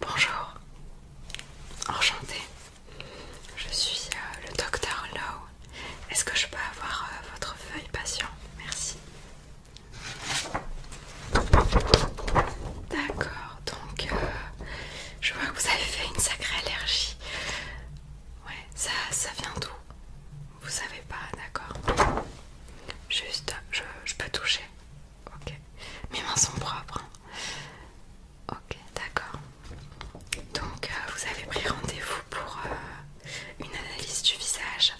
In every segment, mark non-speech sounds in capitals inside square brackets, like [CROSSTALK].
Bonjour, enchantée. Je suis euh, le docteur Lowe. Est-ce que je peux avoir euh, votre feuille patient Merci. D'accord, donc euh, je vois que vous avez fait une sacrée allergie. Ouais, ça, vient d'où Vous savez pas, d'accord Juste, je peux toucher Ok. Mes mains sont propres. Hein. Ok, d'accord. Donc, euh, vous avez pris rendez-vous pour euh, une analyse du visage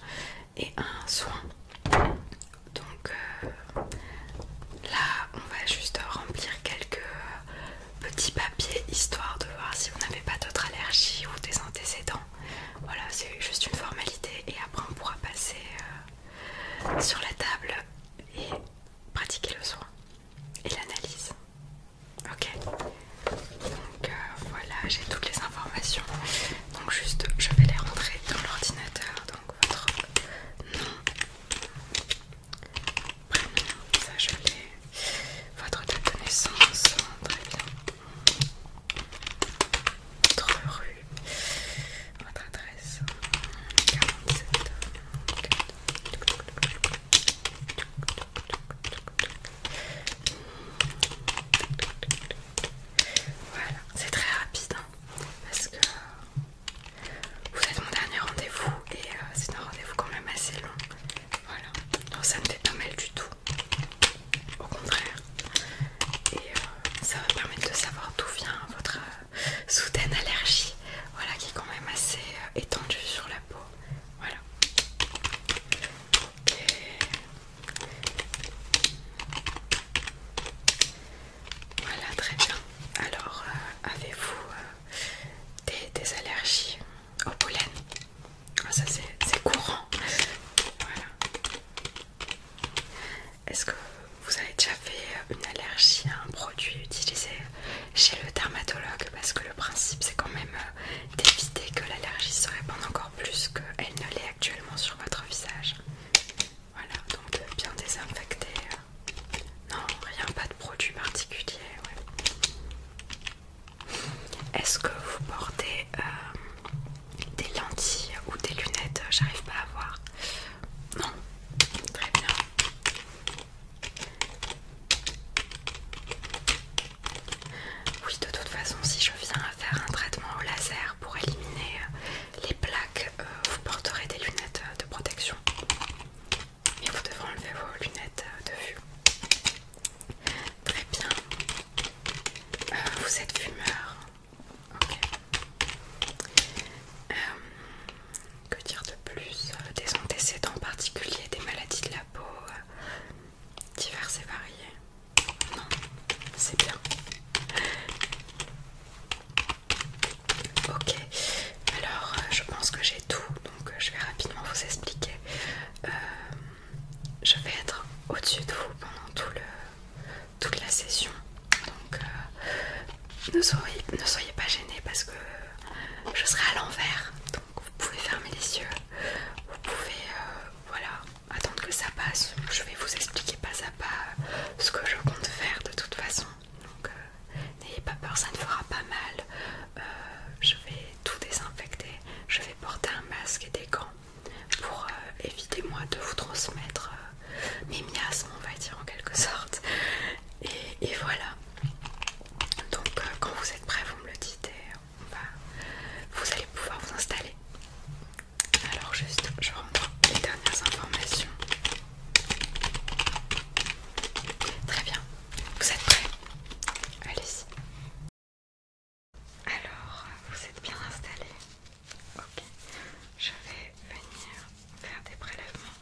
et un soin. Donc, euh, là, on va juste remplir quelques petits papiers histoire de voir si vous n'avez pas d'autres allergies ou des antécédents. Voilà, c'est juste une formalité et après on pourra passer sur la table et pratiquer le soin et l'analyse. Ok Donc euh, voilà, j'ai toutes les informations. Donc juste, je vais les rentrer dans l'ordinateur. Donc votre nom, premier ça je l'ai. Votre date de naissance, très bien. Votre rue votre adresse 47 voilà c'est très rapide hein, parce que vous êtes mon dernier rendez-vous et euh, c'est un rendez-vous quand même assez long voilà donc ça ne fait pas mal du tout au contraire et euh, ça va permettre de savoir d'où vient votre euh, [LAUGHS] soudaine allergie, voilà qui est quand même assez euh, étendue sur la peau. Voilà. Voilà, très bien. Alors, euh, avez-vous euh, des, allergies au pollen ah, Ça, c'est courant. Voilà. Est-ce que vous avez déjà fait euh, une allergie à un produit utilisé chez le dermatologue Parce que le principe c'est quand même euh, d'éviter que l'allergie se répande encore plus qu'elle ne l'est actuellement sur votre visage. Voilà, donc euh, bien désinfecter. Non, rien, pas de produit particulier. Est-ce que vous portez des lentilles ou des lunettes J'arrive pas à voir. Non, très bien. Oui, de toute façon, si je viens à faire un traitement au laser pour éliminer euh, les plaques, euh, vous porterez des lunettes euh, de protection. Et vous devrez enlever vos lunettes de vue. Très bien. vous êtes fumeur Ok. Euh, que dire de plus euh, Des antécédents particuliers, des maladies de la peau, euh, diverses et variées. Non, c'est bien. Ok, alors je pense que j'ai tout, donc je vais rapidement vous expliquer. je vais être au-dessus de vous pendant tout le, toute la session. Donc euh, ne, soyez, pas gênés parce que je serai à l'envers. Donc vous pouvez fermer les yeux. Vous pouvez euh, voilà, attendre que ça passe. Je vais vous expliquer pas à pas ce que je compte faire de toute façon. Donc euh, n'ayez pas peur, ça ne fera pas mal. je vais tout désinfecter. Je vais porter un masque et des gants pour éviter moi de vous transmettre mes miasmes, on va dire en quelque sorte. Et, voilà. Donc euh, quand vous êtes prêt, vous me le dites et vous allez pouvoir vous installer. Alors juste, je reprends les dernières informations. Très bien. Vous êtes prêts allez Alors, vous êtes bien installés Ok. Je vais venir faire des prélèvements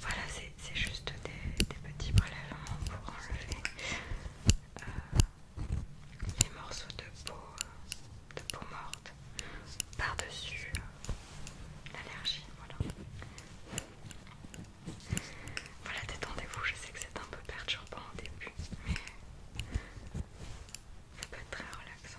Voilà, c'est juste des, petits prélèvements pour enlever euh, les morceaux de peau, euh, de peau morte par-dessus euh, l'allergie. Voilà. Voilà, détendez-vous, je sais que c'est un peu perturbant au début, mais c'est pas très relaxant.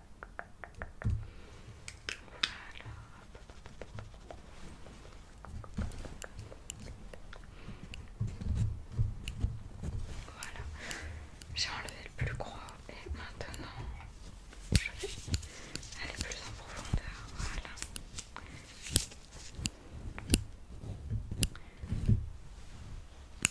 Voilà, j'ai enlevé le plus gros et maintenant je vais aller plus en profondeur. Voilà.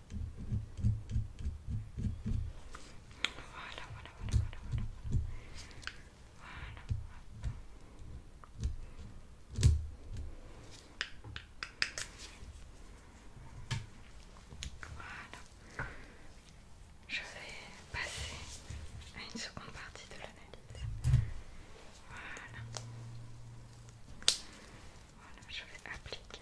Voilà, voilà, voilà, voilà, voilà. Voilà. Je vais passer à une seconde partie de l'analyse. Voilà. Voilà, je vais appliquer.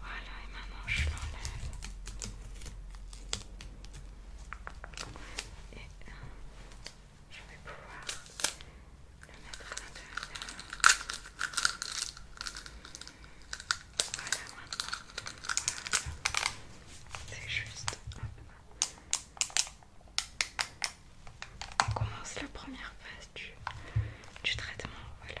Voilà, et maman, je l'enlève. Et... Voilà. je vais pouvoir le mettre à l'intérieur voilà c'est juste on commence la première phase du, traitement voilà,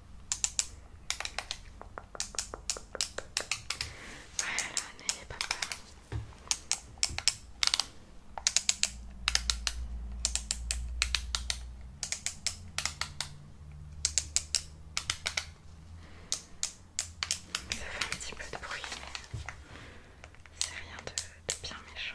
Voilà, pas Ça fait un petit peu de bruit, mais c'est rien de, de bien méchant.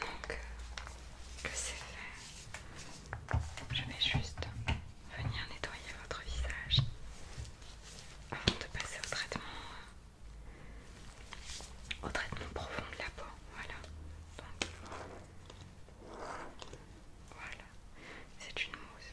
Maintenant que, que c'est fait, je vais juste venir nettoyer votre visage avant de passer au traitement, euh, au traitement profond de la peau. Voilà. voilà. C'est une mousse.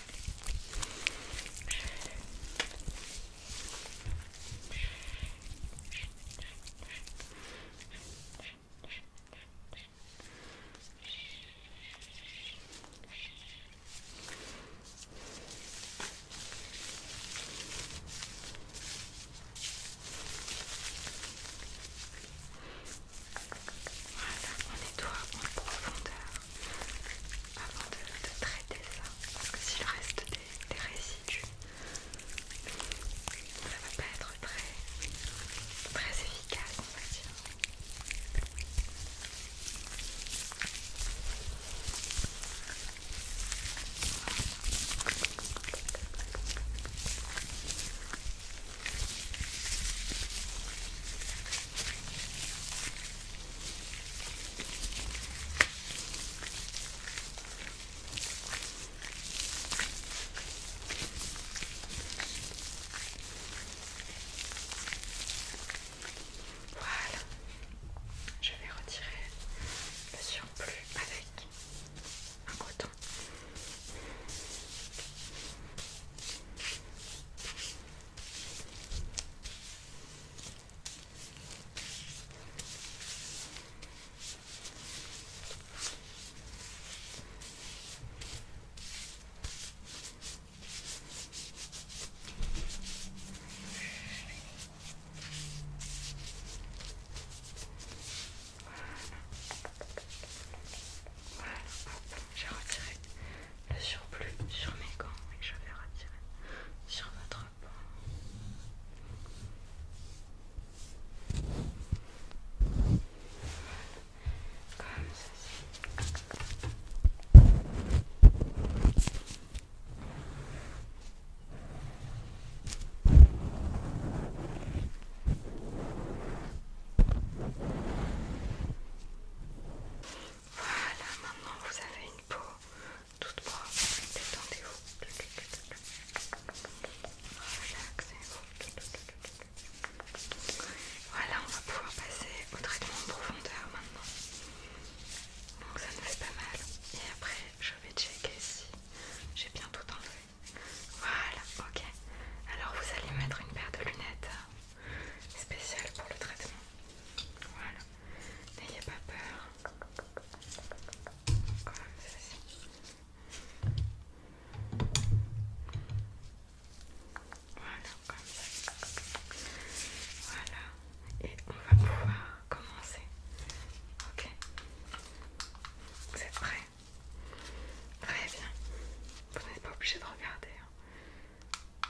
Voilà, on nettoie en profondeur avant de, traiter ça parce que s'il reste des, résidus ça va pas être très, très efficace on va dire voilà, je vais retirer le surplus avec un coton. Voilà, j'ai retiré le surplus sur mes gants et je vais retirer sur votre peau. Comme ceci. Voilà, maintenant vous avez une peau toute propre. Détendez-vous. Relaxez-vous. Voilà, on va pouvoir passer au traitement en profondeur maintenant. Donc ça ne fait pas mal. Et après, je vais checker si j'ai bien tout enlevé. Voilà, ok. Alors vous allez mettre une paire de lunettes spéciale pour le traitement. Voilà. N'ayez pas peur. Comme Voilà, comme ça. Voilà. Et on va pouvoir commencer. Ok Vous êtes prêts Très bien. Vous n'êtes pas obligé de regarder. Hein.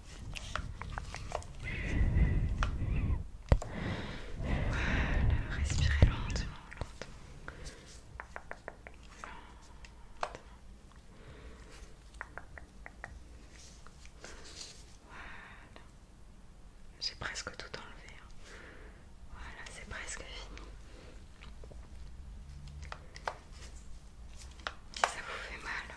Voilà, respirez lentement, lentement. J'ai presque tout enlevé. Hein. Voilà, c'est presque fini. Si ça vous fait mal,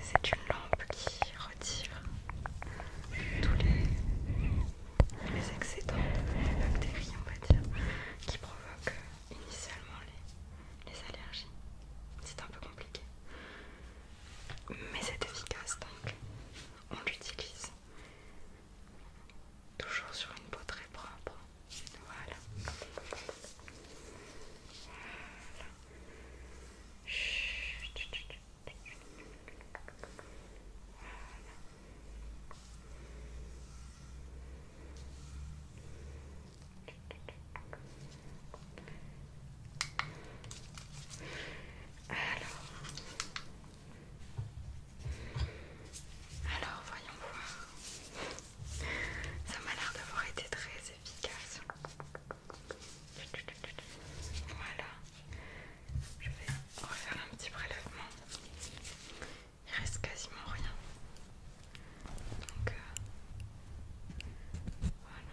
c'est une lampe qui retire tous les, excédents bactéries, on va dire, qui provoquent initialement les allergies. C'est un peu compliqué, mais c'est efficace donc on l'utilise toujours sur une peau très propre. Voilà. Alors, alors voyons voir. Ça m'a l'air d'avoir été très efficace. Voilà. Je vais refaire un petit prélèvement. Il reste quasiment rien. Donc euh, Voilà.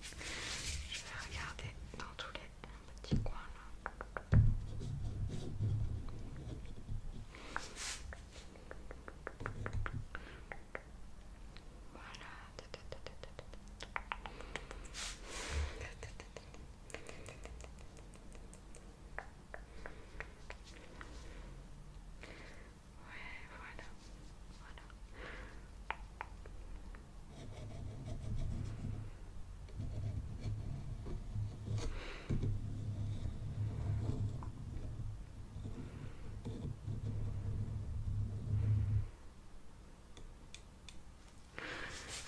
Je vais regarder dans tous les petits coins Voilà. Ouais, voilà. Voilà. Ah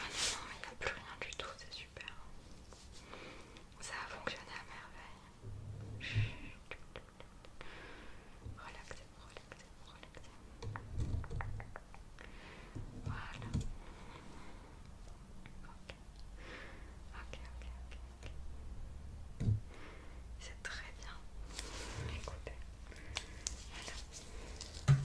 non, il n'y a plus rien du tout, c'est super. Ça a fonctionné à merveille relaxez, relaxez, relaxez. Voilà. Ok. Ok, ok, ok. C'est très bien. Écoutez. Voilà. Vous allez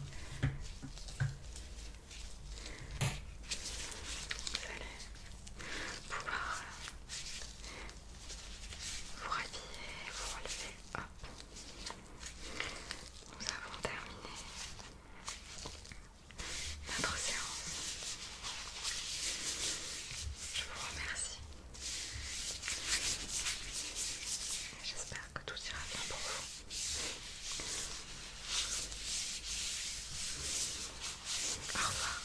pouvoir euh, vous rhabiller, vous relever, hop. Nous avons terminé notre séance. Je vous remercie. J'espère que tout ira bien pour vous. Au revoir.